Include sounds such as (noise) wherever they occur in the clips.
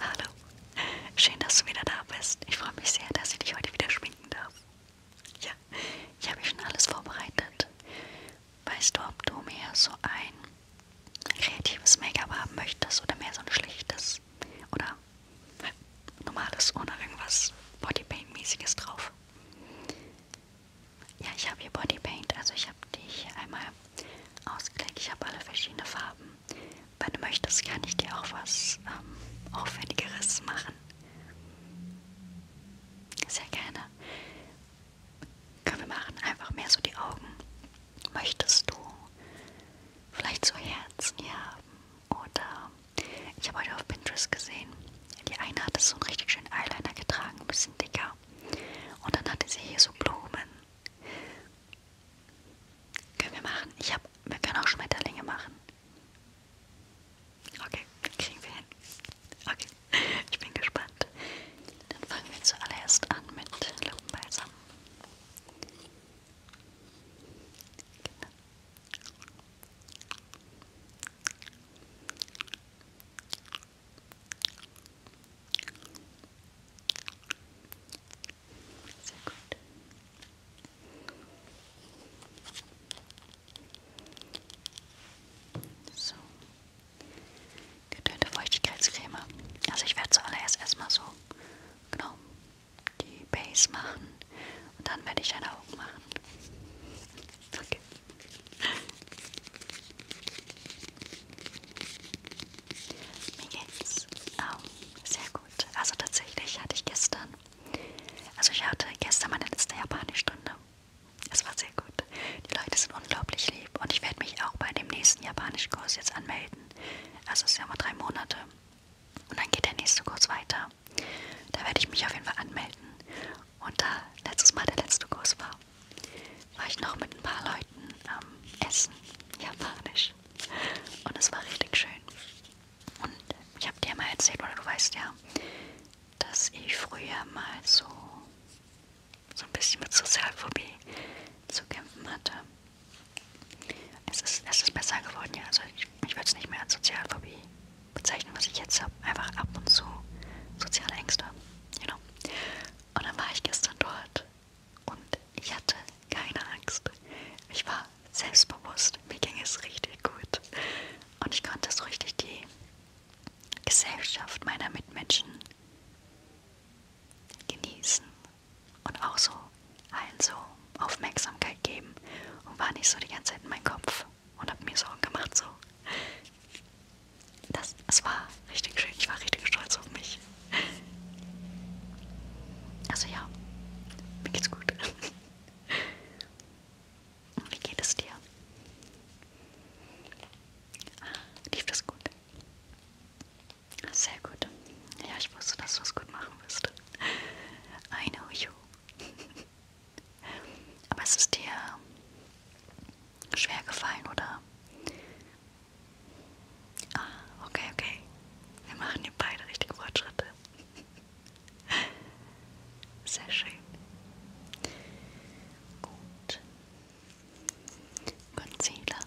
Hallo, schön, dass du wieder da bist. Ich freue mich sehr, dass ich dich heute wieder schminken darf. Ja, ich habe schon alles vorbereitet. Weißt du, ob du mehr so ein kreatives Make-up haben möchtest oder mehr so ein schlichtes oder normales ohne irgendwas Bodypaint-mäßiges drauf? Ja, ich habe hier Bodypaint, also ich habe dich hier einmal ausgelegt. Ich habe alle verschiedene Farben. Wenn du möchtest, kann ich dir auch was ähm, Aufwendigeres machen. Sehr gerne. Können wir machen einfach mehr so die Augen. Möchtest du vielleicht so Herzen hier haben? Oder ich habe heute auf Pinterest gesehen, die eine hatte so einen richtig schönen Eyeliner getragen, ein bisschen dicker. Und dann hatte sie hier so Blumen. Können wir machen? Ich hab, wir können auch Schmetterlinge machen. Okay, kriegen wir hin. Okay, ich bin gespannt. Dann fangen wir zuallererst an mit Lippenbalsam. Genau. Okay. Sehr gut. So. Getönte Feuchtigkeitscreme. Also ich werde zuallererst erstmal so genau die Base machen und dann werde ich deine Augen machen. Okay. Mir geht's auch ähm, sehr gut. Also tatsächlich hatte ich gestern, also ich hatte gestern meine letzte Japanischstunde. Es war sehr gut. Die Leute sind unglaublich lieb und ich werde mich auch bei dem nächsten Japanischkurs jetzt anmelden. Also es sind ja mal drei Monate. Und dann geht der nächste Kurs weiter. Da werde ich mich auf jeden Fall anmelden. Und da letztes Mal der letzte Kurs war, war ich noch mit ein paar Leuten am ähm, Essen, japanisch. Und es war richtig schön. Und ich habe dir mal erzählt, oder du weißt ja, dass ich früher mal so, so ein bisschen mit Sozialphobie zu kämpfen hatte. Es ist, es ist besser geworden, ja. Also ich, ich würde es nicht mehr als Sozialphobie bezeichnen, was ich jetzt habe. Einfach ab und zu soziale Ängste. You know. Und dann war ich gestern dort und ich hatte keine Angst. Ich war selbstbewusst, mir ging es richtig gut. Und ich konnte so richtig die Gesellschaft meiner Mitmenschen genießen und auch so allen so Aufmerksamkeit geben und war nicht so die ganze Zeit in meinem Kopf und habe mir Sorgen gemacht so das, das war richtig schön. Ich war richtig stolz auf mich. Also ja, mir geht's gut. Und wie geht es dir? Lief das gut? Sehr gut. Ja, ich wusste, dass du es gut machen wirst. I know you. Aber es ist dir schwer gefallen, oder? Ah, okay, okay. Wir machen hier beide richtige Fortschritte. (laughs) Sehr schön. Gut. Concealer.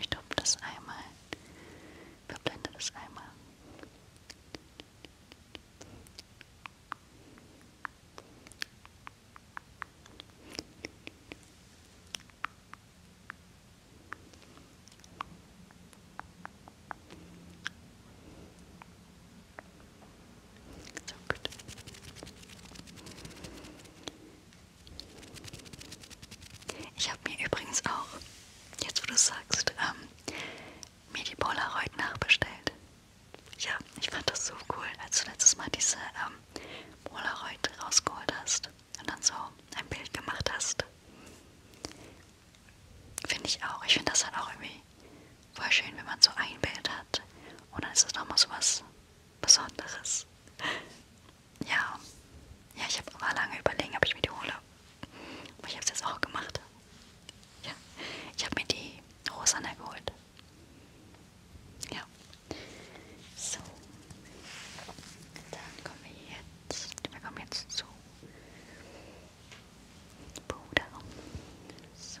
Ich tupfe das einmal, verblende das einmal. So gut. Ich habe mir übrigens auch, jetzt wo du sagst, ähm, mir die Polaroid nachbestellt. Ja, ich fand das so cool, als du letztes Mal diese ähm, Polaroid rausgeholt hast und dann so ein Bild gemacht hast. Finde ich auch. Ich finde das halt auch irgendwie Voll schön, wenn man so ein Bild hat. Und dann ist das nochmal so was Besonderes. Ja. Ja, ich habe aber lange überlegen, ob ich mir die hole. Aber ich habe es jetzt auch gemacht. Ja. Ich habe mir die Rosanne geholt. Ja. So. Dann kommen wir jetzt. Wir kommen jetzt zu Bruder. So.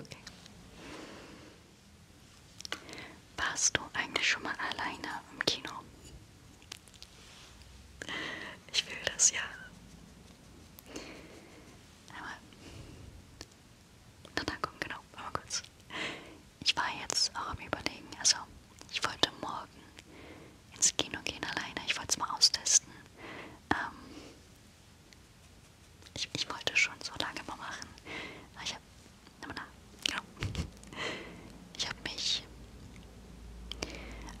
Okay. Warst du eigentlich schon mal alleine im Kino? Ich will das ja. Aber na dann komm, genau, aber kurz. Ich war jetzt auch am Überlegen, also ich wollte morgen ins Kino gehen alleine. Ich wollte es mal austesten. Ähm, ich, ich wollte schon so lange mal machen. Aber ich habe. Genau. Ich habe mich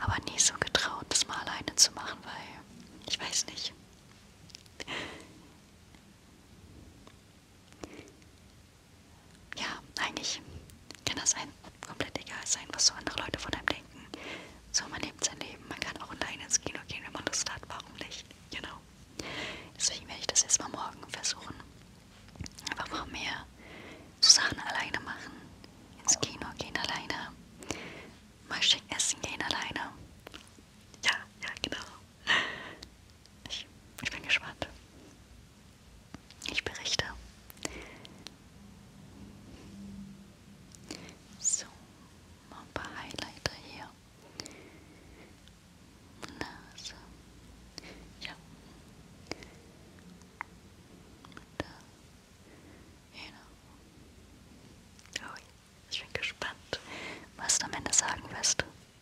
aber nie so getraut, das mal alleine zu machen, weil ich weiß nicht ja, eigentlich kann das einem komplett egal sein, was so andere Leute von einem denken. So, man lebt sein Leben. Man kann auch alleine ins Kino gehen, wenn man Lust hat. Warum nicht? Genau. Deswegen werde ich das jetzt mal morgen versuchen. Einfach mal mehr so Sachen alleine machen. Ins Kino gehen alleine. Mal schick essen gehen alleine. Ja, ja, genau. Ich, ich bin gespannt. Ich berichte. So, mal ein paar Highlighter hier. Nase. Ja. Und da. Genau. Oh, ich bin gespannt, was du am Ende sagen wirst.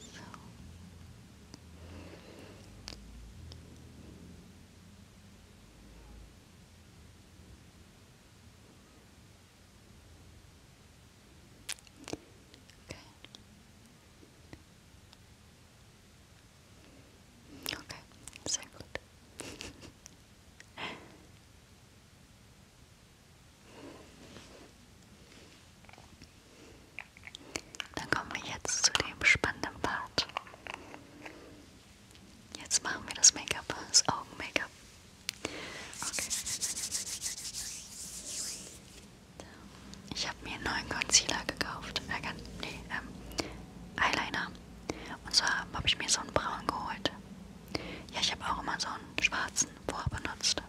So Okay. Okay, so good. (laughs) (laughs) Dann kommen wir jetzt zu dem spannenden Part. Jetzt machen wir das Make-up, das Augen-Make-up. Okay. Ich habe mir einen neuen Concealer gekauft. Äh, nee, ähm, Eyeliner. Und zwar habe ich mir so einen braunen geholt. Ja, ich habe auch immer so einen schwarzen vorher benutzt.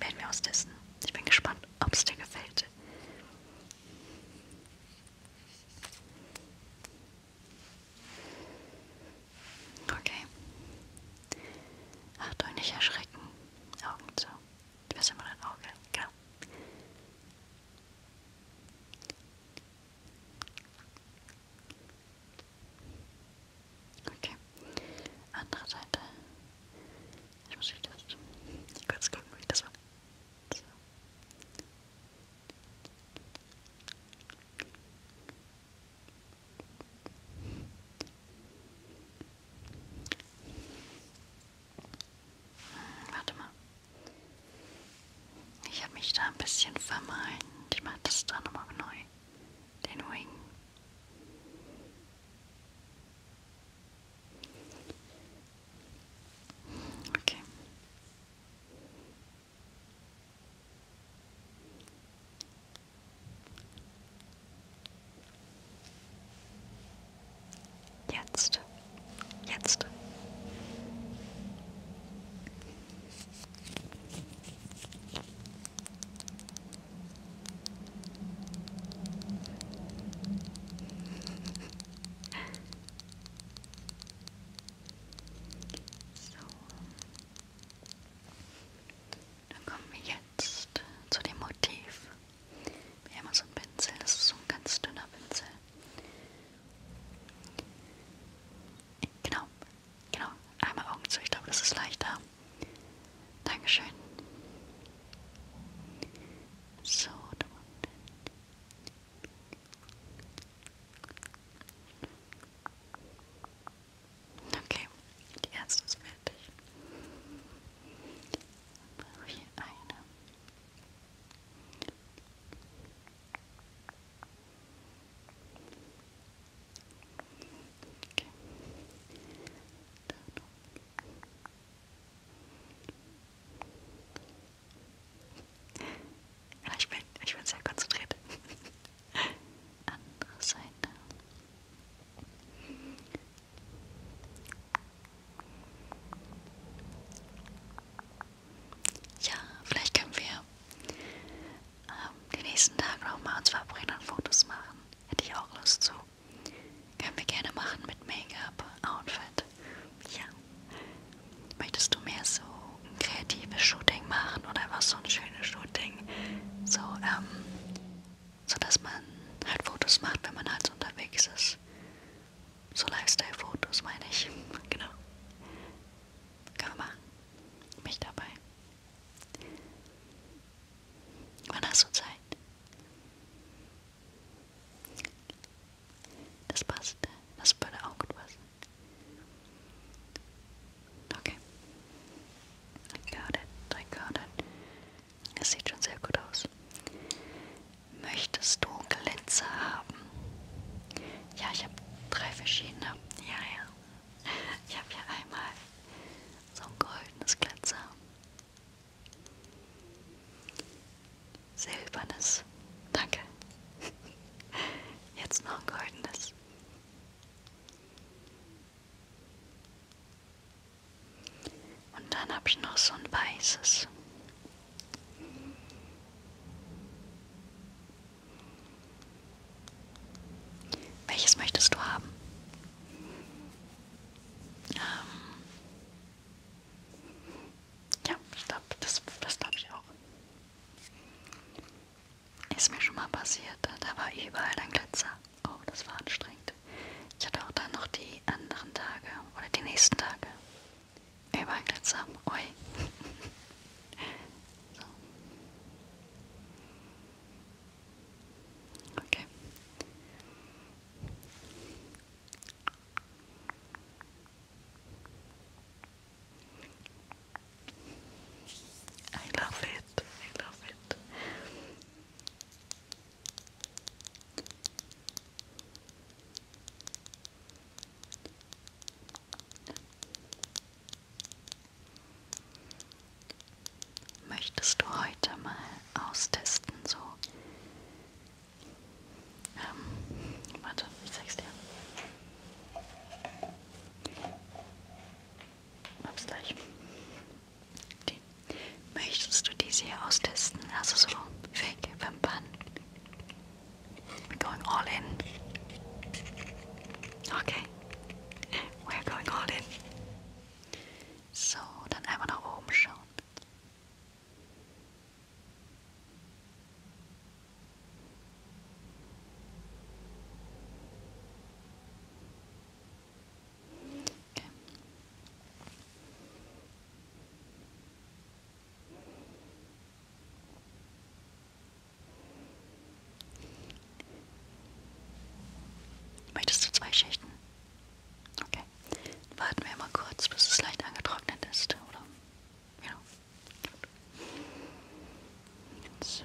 Werden wir austesten. Ich bin gespannt, ob es dir gefällt. Okay. Achtung, nicht erschrecken. Augen zu. Du bist immer dein Auge. Genau. Okay. Andere Seite. Ich muss wieder kurz gucken, wie das war. So. Warte mal. Ich habe mich da ein bisschen vermeint. Ich mache das da nochmal neu. Den Wing. Okay. Jetzt. Jetzt. So. Dann kommen wir jetzt zu dem Motiv. Amazon Pinsel. Das ist so ein ganz dünner Pinsel. Genau, genau. Einmal Augen zu. Ich glaube, das ist leichter. Dankeschön. So, da Okay, die erste ist fertig. Hier eine. Okay. Ja, ich bin, ich bin sehr konzentriert. (laughs) Andere Seite. Ja, vielleicht können wir ähm, die nächsten Tage nochmal uns verabreden und Fotos machen. Hätte ich auch Lust zu. Können wir gerne machen mit Make-up, Outfit. Ja. Möchtest du mehr so ein kreatives Shooting machen oder was so ein schönes Shooting? So, ähm, sodass man halt Fotos macht, wenn man halt so unterwegs ist. So Lifestyle-Fotos meine ich. (laughs) Genau. Kann man machen. Mich dabei. Wann hast du Zeit? Das passt. Das würde auch gut passen. Okay. I got it. I got it. Es sieht schon sehr gut aus. Möchtest du Glitzer haben? Ja, ich habe drei verschiedene. Ja, ja. Ich habe hier einmal so ein goldenes Glitzer. Silbernes. Danke. Jetzt noch ein goldenes. Und dann habe ich noch so ein weißes. Welches möchtest du haben? Ähm ja, ich glaube, das, das glaube ich auch. Ist mir schon mal passiert, da war überall ein Glitzer oh, das war anstrengend. Ich hatte auch dann noch die anderen Tage oder die nächsten Tage. Überall Glitzer. Ui. (laughs) so. Okay. I love it. I love it. Möchtest du heute mal austesten, so? Ähm, warte, ich zeig's dir. Hab's gleich. Die. Möchtest du diese hier austesten? Also so weg vom Bann. We're going all in. Okay. We're going all in. So, dann einmal nach oben schauen. Okay. Möchtest du zwei Schichten? Okay. Warten wir mal kurz, bis es leicht angetrocknet ist, oder? Ja. So.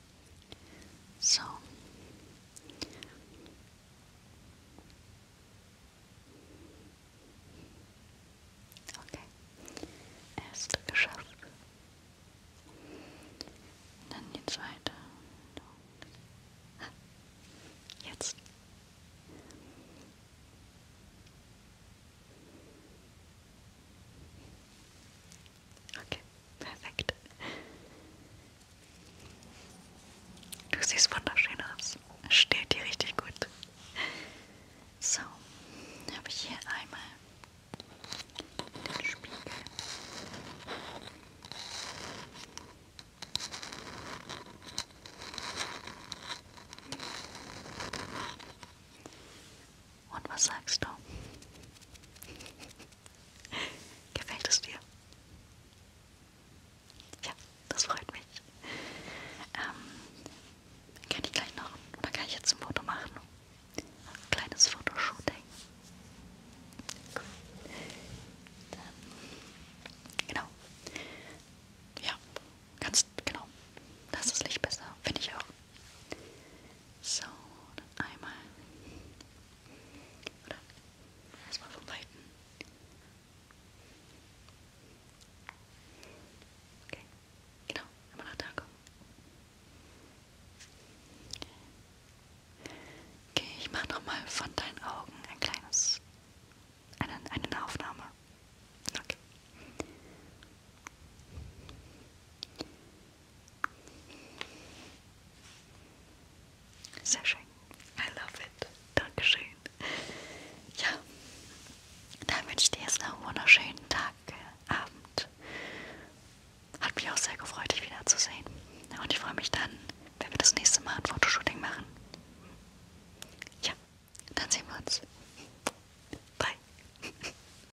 so Okay. Erste geschafft. Dann die zweite. Jetzt. Okay, perfekt. Du siehst wunderschön aus. Steht dir richtig gut. So, habe ich hier einmal den Spiegel. Und was sagst du? (laughs) Gefällt es dir? Ja, das freut mich. Ähm, kann ich gleich noch, da kann ich jetzt ein Foto machen. Ein kleines Fotoshooting. Cool. Dann, genau. Ja, ganz genau. Das ist Licht besser, finde ich auch. So, dann einmal. Oder? Erstmal vom Weiten. Okay, genau. Einmal nach da kommen. Okay, ich mache nochmal von deinen Augen ein kleines. eine, eine Aufnahme. Okay. Sehr schön. I love it. Dankeschön. Ja, dann wünsche ich dir jetzt noch einen wunderschönen Tag, äh, Abend. Hat mich auch sehr gefreut, dich wiederzusehen. Und ich freue mich dann, wenn wir das nächste Mal ein Fotoshooting machen. Ja, dann sehen wir uns. Bye.